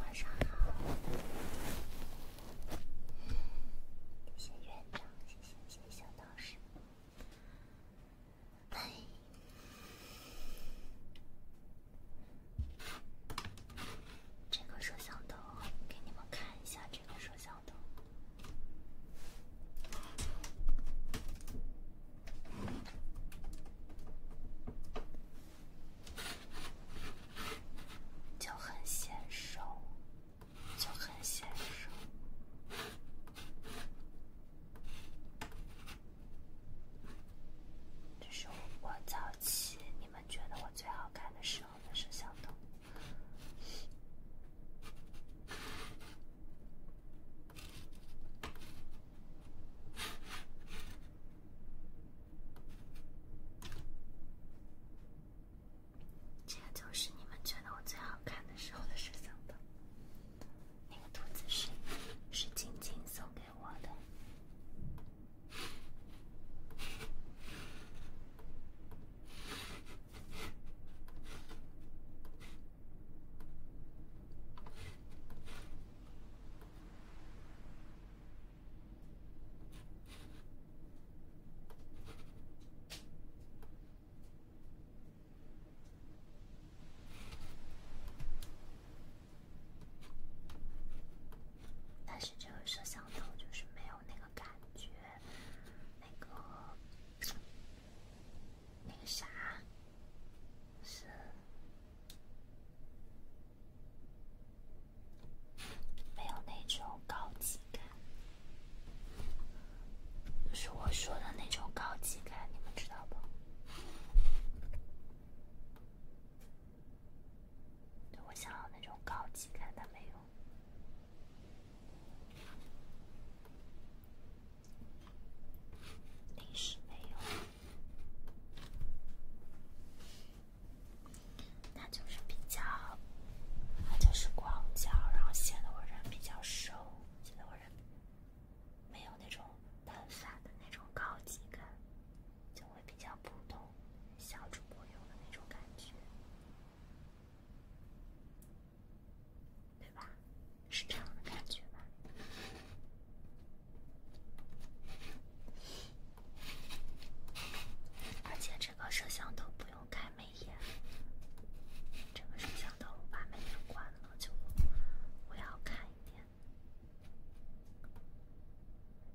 晚上好，谢谢院长，谢谢谢谢小道士。哎，这个摄像头，给你们看一下这个摄像头。就很显瘦，就很显瘦。这是我早期，你们觉得我最好看的时候。我的摄像头，这个就是你们觉得我最好看的时候的摄像头。那个兔子是是晶晶送给我的。但是这个摄像头就是没有那个感觉。那个那个啥是没有那种高级感，就是我说的那种高级感，你们知道不？对我想要那种高级感，它没有。临时没有，那就是比较，那就是广角，然后显得我人比较瘦，显得我人没有那种单反的那种高级感，就会比较普通小主播用的那种感觉。对吧？是这样的感觉吧？而且这个摄像头不用开美颜，这个摄像头我把美颜关了就我要看一点，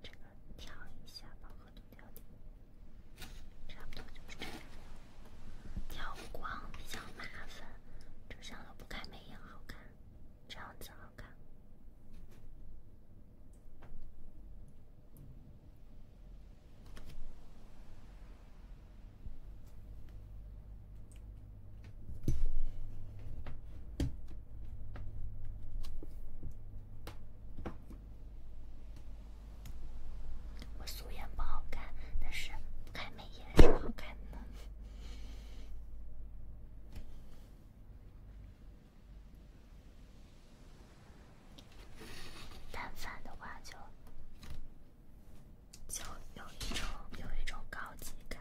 这个调一下吧。调节，差不多就是这样。调光比较麻烦，只想了不开美颜好看，这样子好看。我素颜不好看，但是开美颜好看呢。淡饭的话就就有一种有一种高级感，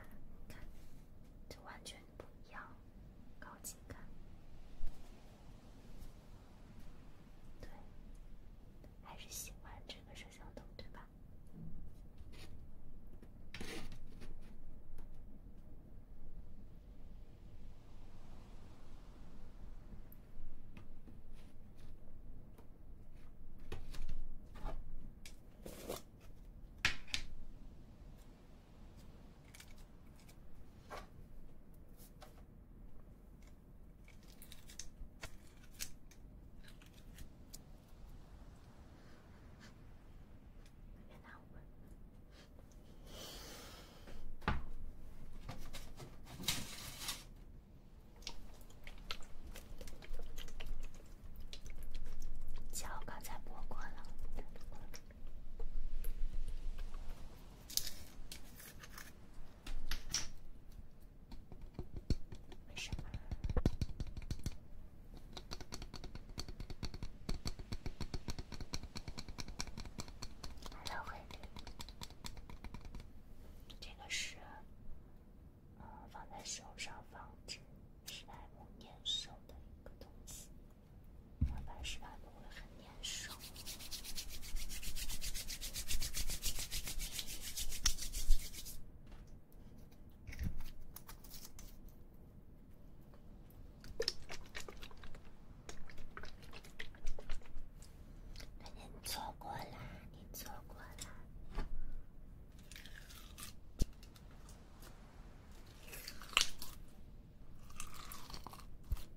就完全不一样，高级感。对，还是喜欢这个摄像头，对吧？脚刚才播过了。蓝色会这个是嗯放在手上防止史莱姆粘手的一个东西，放在史莱姆会黑。你错过了，你错过了。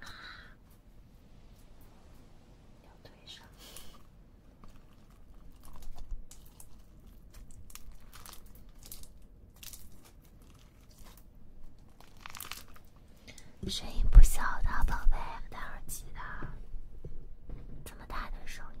啊！声音不小的宝贝，待会儿记得，这么大的声音。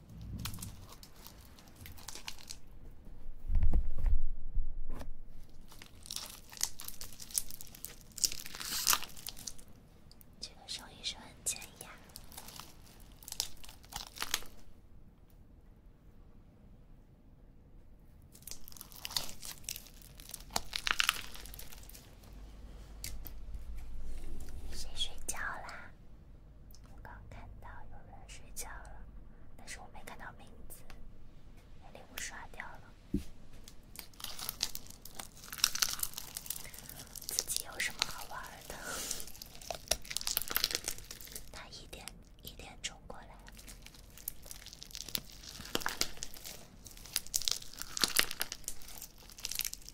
这个声音是很尖牙。睡觉啦？我刚看到有人睡觉了，但是我没看到名字，被礼物刷掉了。自己有什么好玩的？他一点一点钟过来。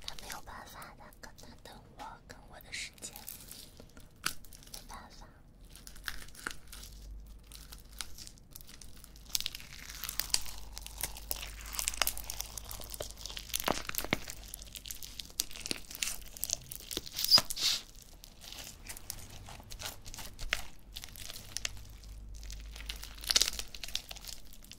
他没有办法，他跟他等我，跟我的时间，没办法。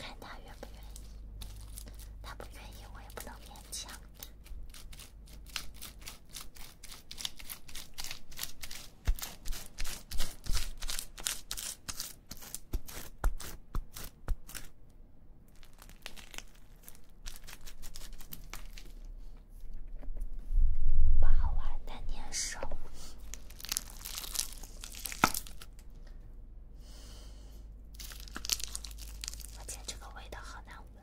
看他愿不愿意，他不愿意，我也不能勉强不好玩，太黏手。而且这个味道好难闻。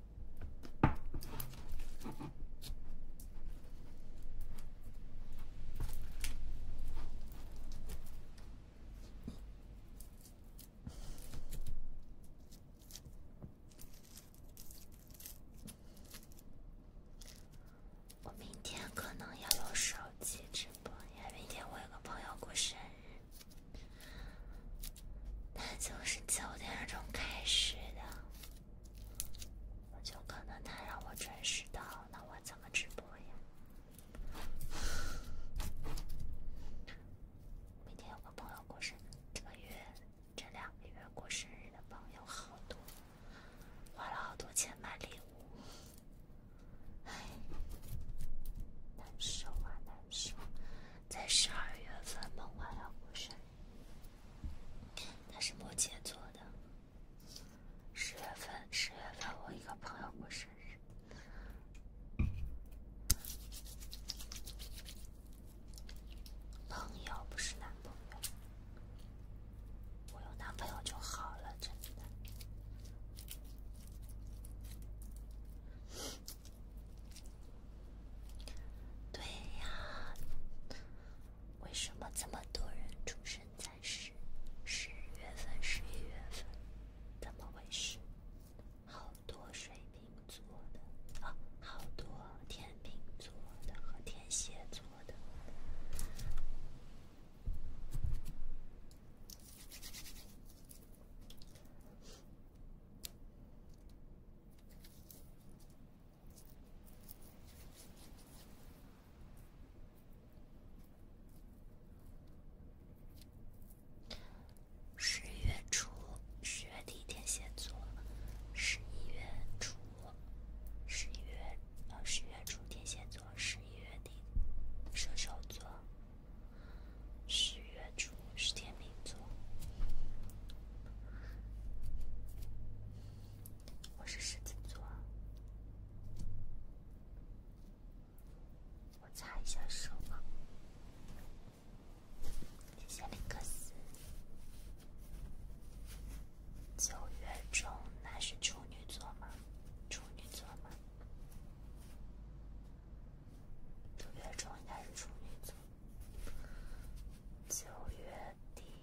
我明天可能要用手机直播因为明天我有个朋友过生日，他就是九点钟开始的。就可能他让我准时到，那我怎么直播呀？明天有个朋友过生，这个月这两个月过生日的朋友好多，花了好多钱买礼物，唉，难受啊难受，在十二月份某还要过生日。他是摩羯座的。十月份，十月份我一个朋友过生日，朋友不是男朋友，我有男朋友就好了，真的。对呀。为什么这么多人出生在十十月份、十一月份？怎么回事？好多水瓶座的，啊，好多天秤座的和天蝎座的。十一月初，十月底天蝎座；十一月初，十一月到十月初天蝎座；十一月底，射手座；十月初是天秤座。我是狮子座，我擦一下手。吧。谢谢林克斯。九月中，那是处女座吗？处女座吗？九月中，应该是处女座。九月底。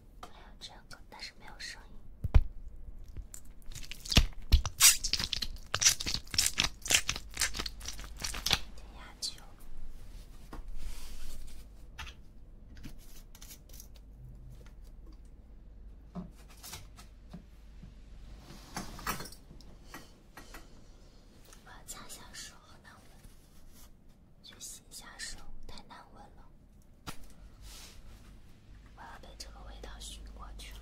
还有这个，但是没有声音。高压球。我要擦下手，好难闻。去洗下手，太难闻了。我要被这个味道熏过去了。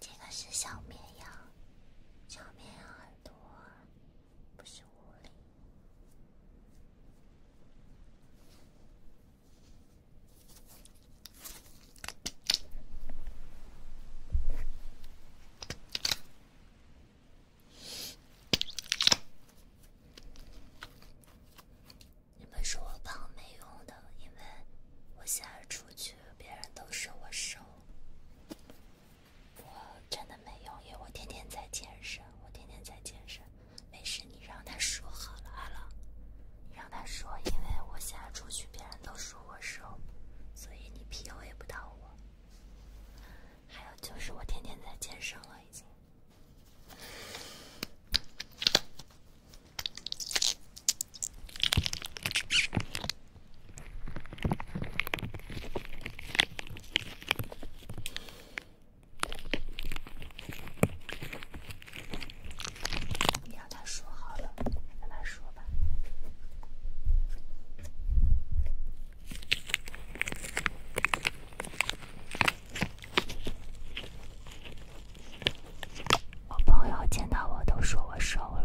这个是小绵羊，小绵羊耳朵，不是狐狸。你们说我胖没用的，因为我现在出去别人都说我瘦，我真的没用，因为我天天在健身，我天天在健身。没事，你让他说好了阿浪，你让他说，因为我现在出去别人都说我瘦，所以你 PU a 不到我。还有就是我天天在健身了已经。你让他说好了，让他说吧。我朋友见到我都说我瘦了。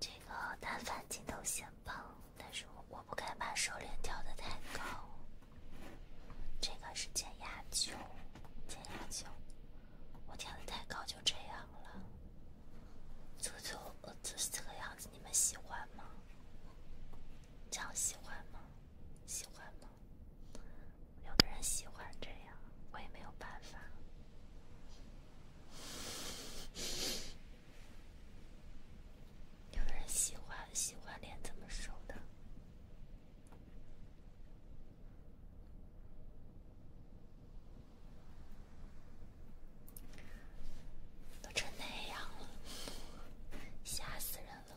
这个单反镜头显胖。但是我不该把手链调的太高，这个是减压球，减压球，我调的太高就这样了，就就就这个样子，你们喜欢吗？这样喜欢吗？喜欢吗？有的人喜欢这样，我也没有办法。有人喜欢喜欢脸这么瘦的，都成那样了，吓死人了。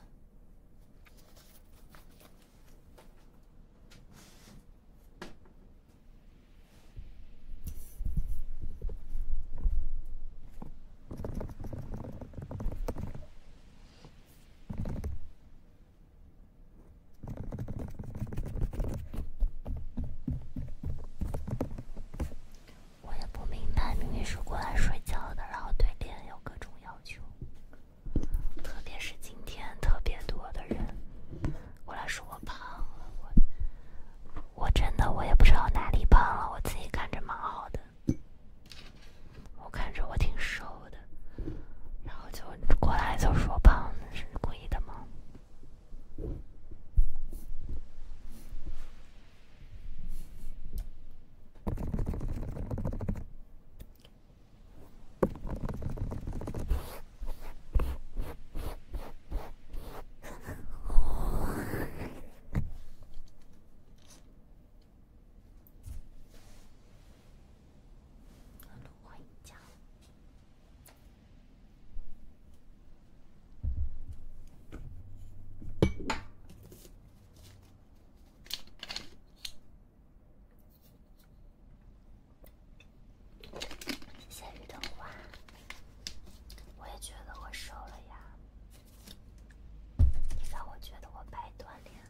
我也不明白，明明是过来睡觉的，然后对脸有各种要求，特别是今天特别多的人过来说我胖了，我。我真的我也不知道哪里胖了，我自己看着蛮好的，我看着我挺瘦的，然后就过来就说胖，是故意的吗？走路回家。谢谢雨桐花。我也觉得我瘦了呀，你让我觉得我白锻炼了。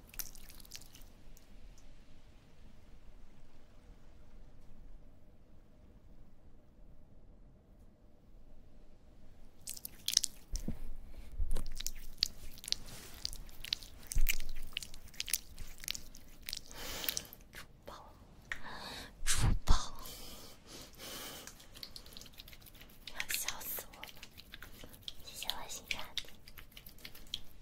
珠宝，珠宝，要笑死我了！谢谢我心鸭子。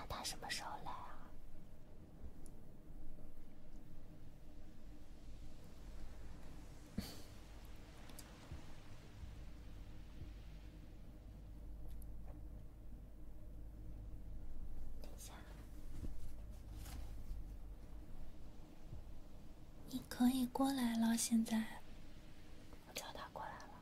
那他什么时候来啊？等一下，你可以过来了。现在我叫他过来了。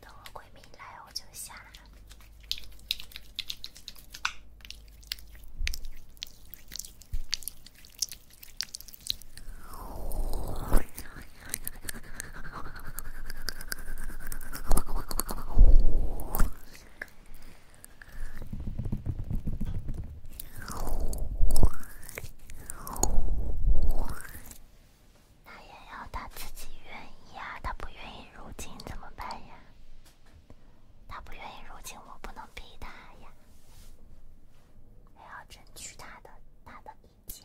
等我闺蜜来，我就下。来了。他也要他自己愿意呀，他不愿意入京怎么办呀？他不愿意入京，我不能逼他呀，我要争取他的他的意见。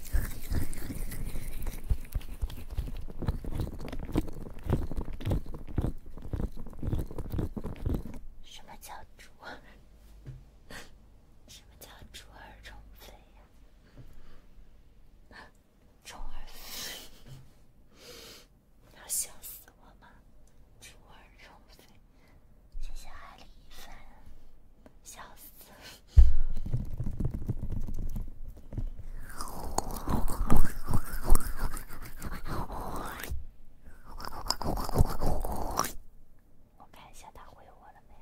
什么叫猪？什么叫猪儿虫飞呀？虫儿飞，你要笑死我吗？猪儿虫飞。谢谢爱丽粉，笑死！我看一下他回我了没有。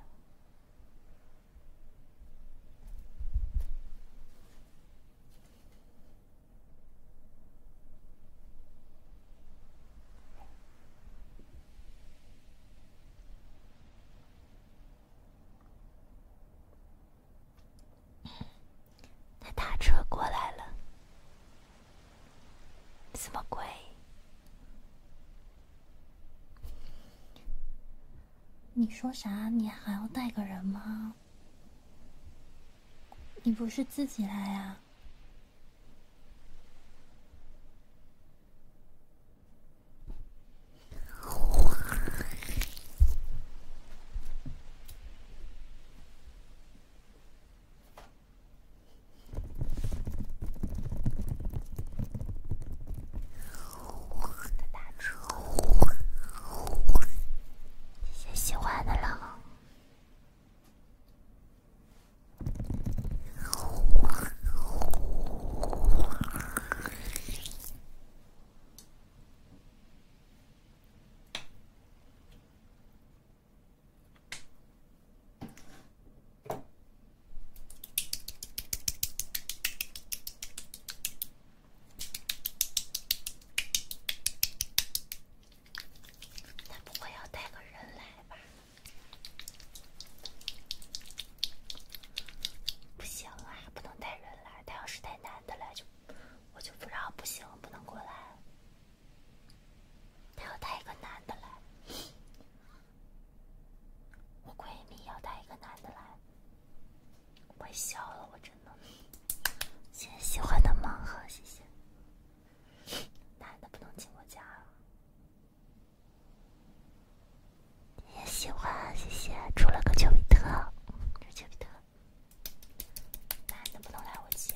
他打车过来了，什么鬼？你说啥？你还要带个人吗？你不是自己来啊？谢谢喜欢的了。他不会要带个人来吧？不行啊，不能带人来。他要是带男的来，就我就不让，不行，不能过来。他要带一个男的来，我闺蜜要带一个男的来，我笑了，我真的。谢谢喜欢的盲盒，谢谢。男的不能进我家。啊。也喜欢，谢谢，出了个丘比特，丘比特，那能不能来我家？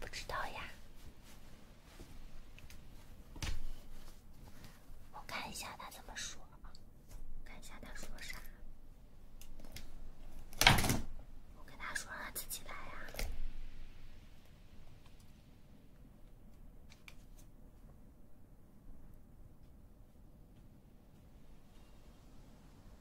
不知道呀，我看一下他怎么说，看一下他说啥。我跟他说让他自己来呀。我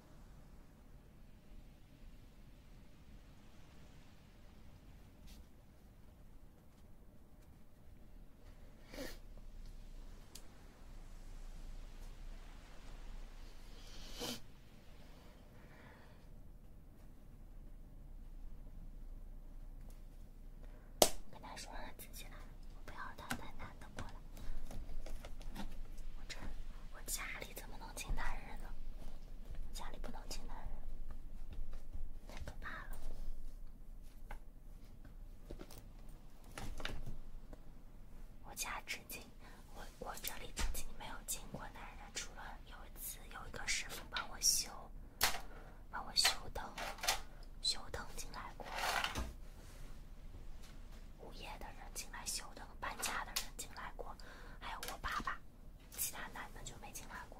跟他说：“自己来，我不要他再拿。”过来，我这我家里怎么能进男人呢？家里不能进男人，太可怕了。我家曾经，我我这里曾经没有进过男人，除了有一次有一个师傅帮我修，帮我修灯，修灯进来过。物业的人进来修的，搬家的人进来过，还有我爸爸，其他男的就没进来过。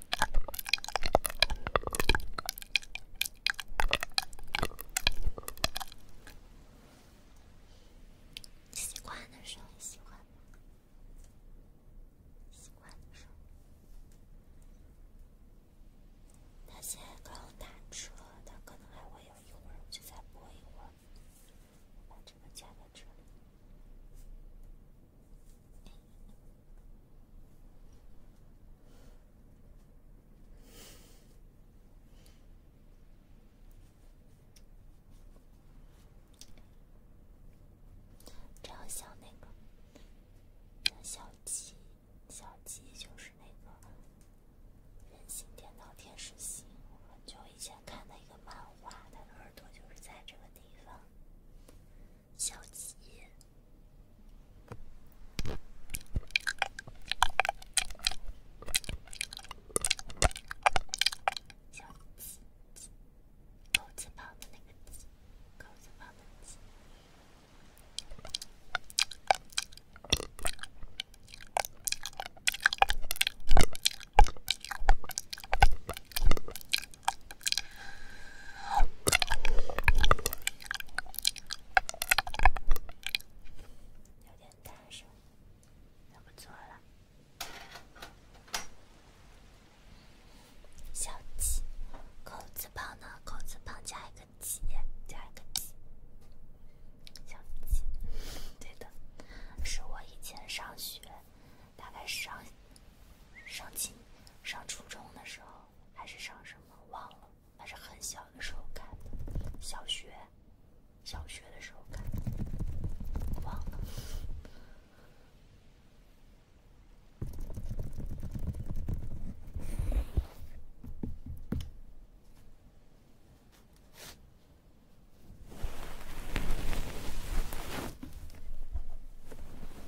习惯的时候，习惯吗？习惯的时候，他现在刚打车，他可能还会有一会儿，就再播一会儿。我把这个加在这里。只要像那个小鸡，小鸡就是那个《人形电脑天使心》，很久以前看的一个漫画，它的耳朵就是在这个地方。小鸡，小鸡鸡，狗吃棒子那个鸡，狗吃棒子。有点大声，那不做了。小鸡，口字旁的口字旁加一个“鸡”，加一个“鸡”。小鸡，对的，是我以前上学，大概是上。上七，上初中的时候还是上什么忘了，还是很小的时候看的，小学，小学的时候看的，我忘了。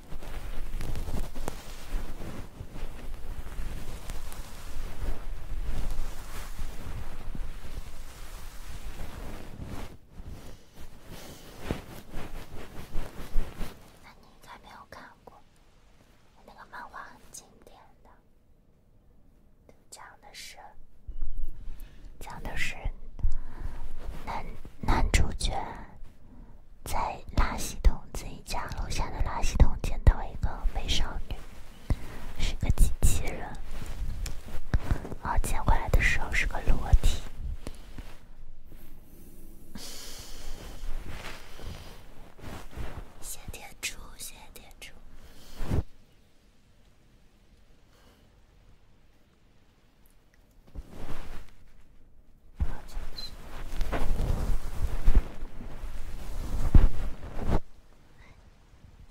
那你应该没有看过，那个漫画很经典的，讲的是讲的是男男主角。在垃圾桶自己家楼下的垃圾桶捡到一个美少女，是个机器人。后捡回来的时候是个裸体。先点谢谢点出。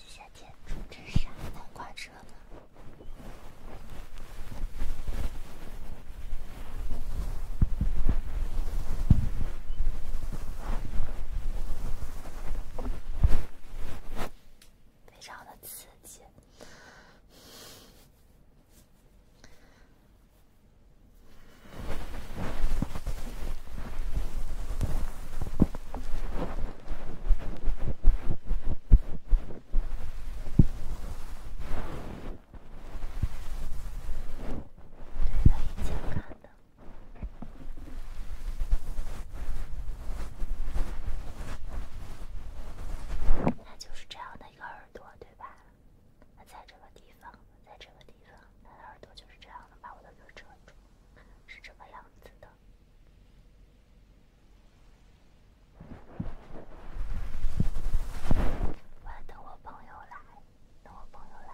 夏天坐这啥南瓜车呢？非常的刺激。对他以前看的，那就是这样的一个耳朵，对吧？它在这个地方，在这个地方，它的耳朵就是这样的，把我的脸遮住，是这个样子的。我要等我朋友来，等我朋友来。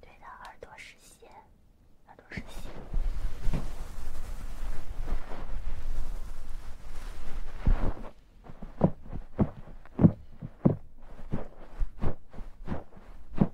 对的，耳朵是线，耳朵是线。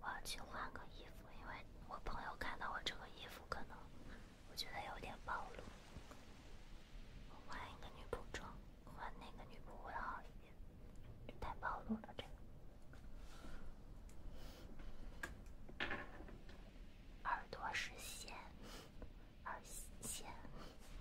我要去换个衣服，因为我朋友看到我这个衣服，可能我觉得有点暴露。换一个女仆装，换那个女仆会好一点？太暴露了这个。耳朵是线，耳线。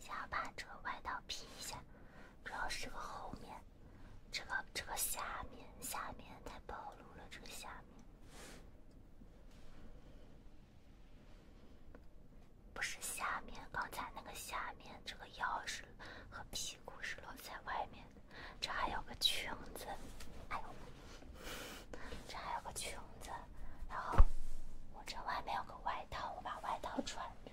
先把这个外套披一下，主要是这个后面，这个这个下面下面太暴露了，这下面不是下面，刚才那个下面这个腰是。和屁股是落在外面这还有个裙子，还有，这还有个裙子，然后我这外面有个外套，我把外套穿着。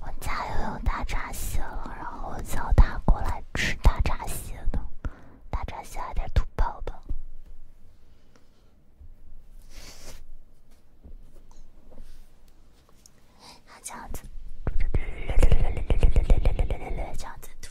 我家又有大闸蟹了，然后我叫他过来吃大闸蟹的，大闸蟹还点吐泡泡，这样子，这样子吐。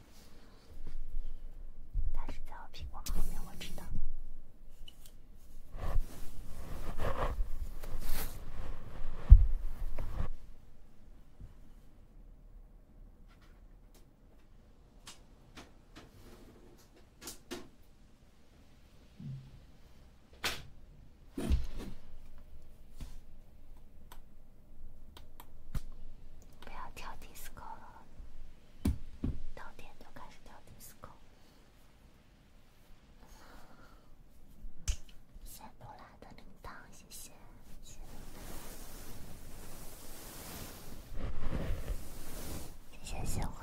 但是在我屁股后面，我知道。不要跳迪斯科了。到点就开始跳迪斯科。香不辣的铃铛，谢谢，谢谢，谢谢喜欢。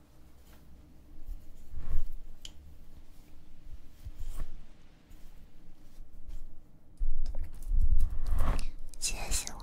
谢谢喜欢。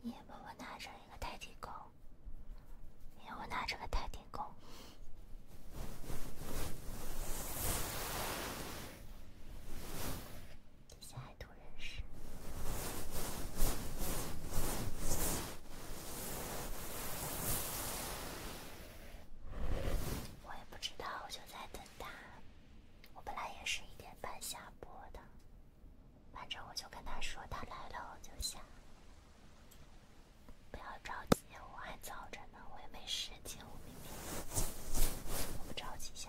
你也帮我拿着一个泰迪狗，你也我拿着个泰迪狗。现在都认识，我也不知道，我就在等他。我本来也是一点半下播的，反正我就跟他说，他来了我就下。不要着急，我还早着呢，我也没时间，我明天我不着急下。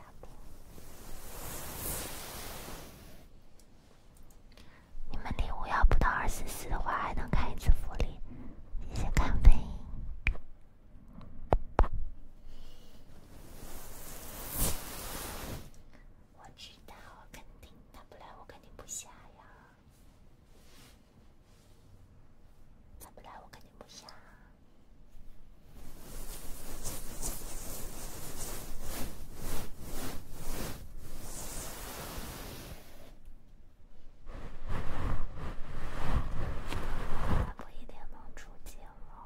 你们礼物要不到二十四的话，还能开一次福利，谢看呗。我知道，肯定他不来，我肯定不下呀。他不来，我肯定不下。不一定能出镜哦。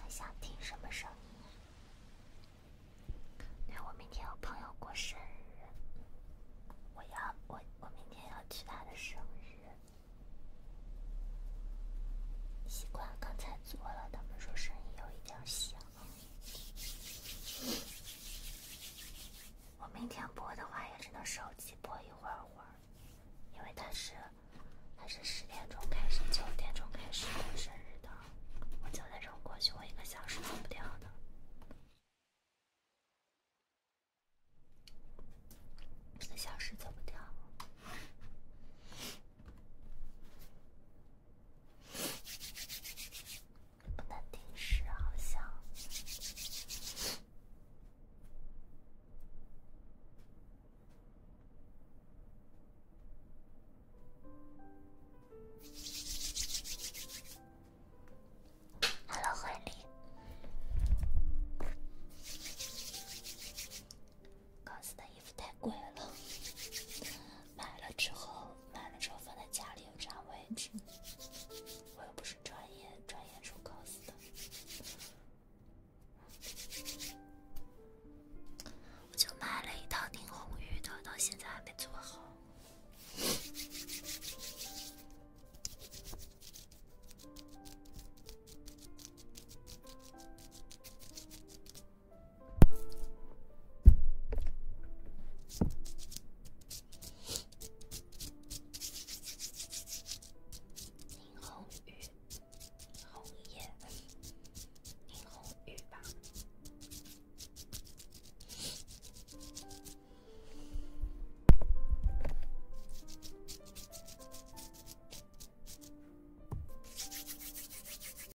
还想听什么声音？对，我明天有朋友过生日，我要我我明天要去他的生日。习惯刚才做了，他们说声音有一点小。我明天播的话，也只能手机播一会儿会儿，因为他是他是十点钟开始，九点钟开始过生日的。我九点钟过去，我一个小时走不掉的，一个小时走不掉。不能定时，好像。Hello，婚礼。告诉的。衣服太贵了，买了之后买了之后放在家里又占位置，我又不是专业专业出 cos 的，我就买了一套丁红玉的，到现在还没做好。林红雨，红叶，林红雨吧。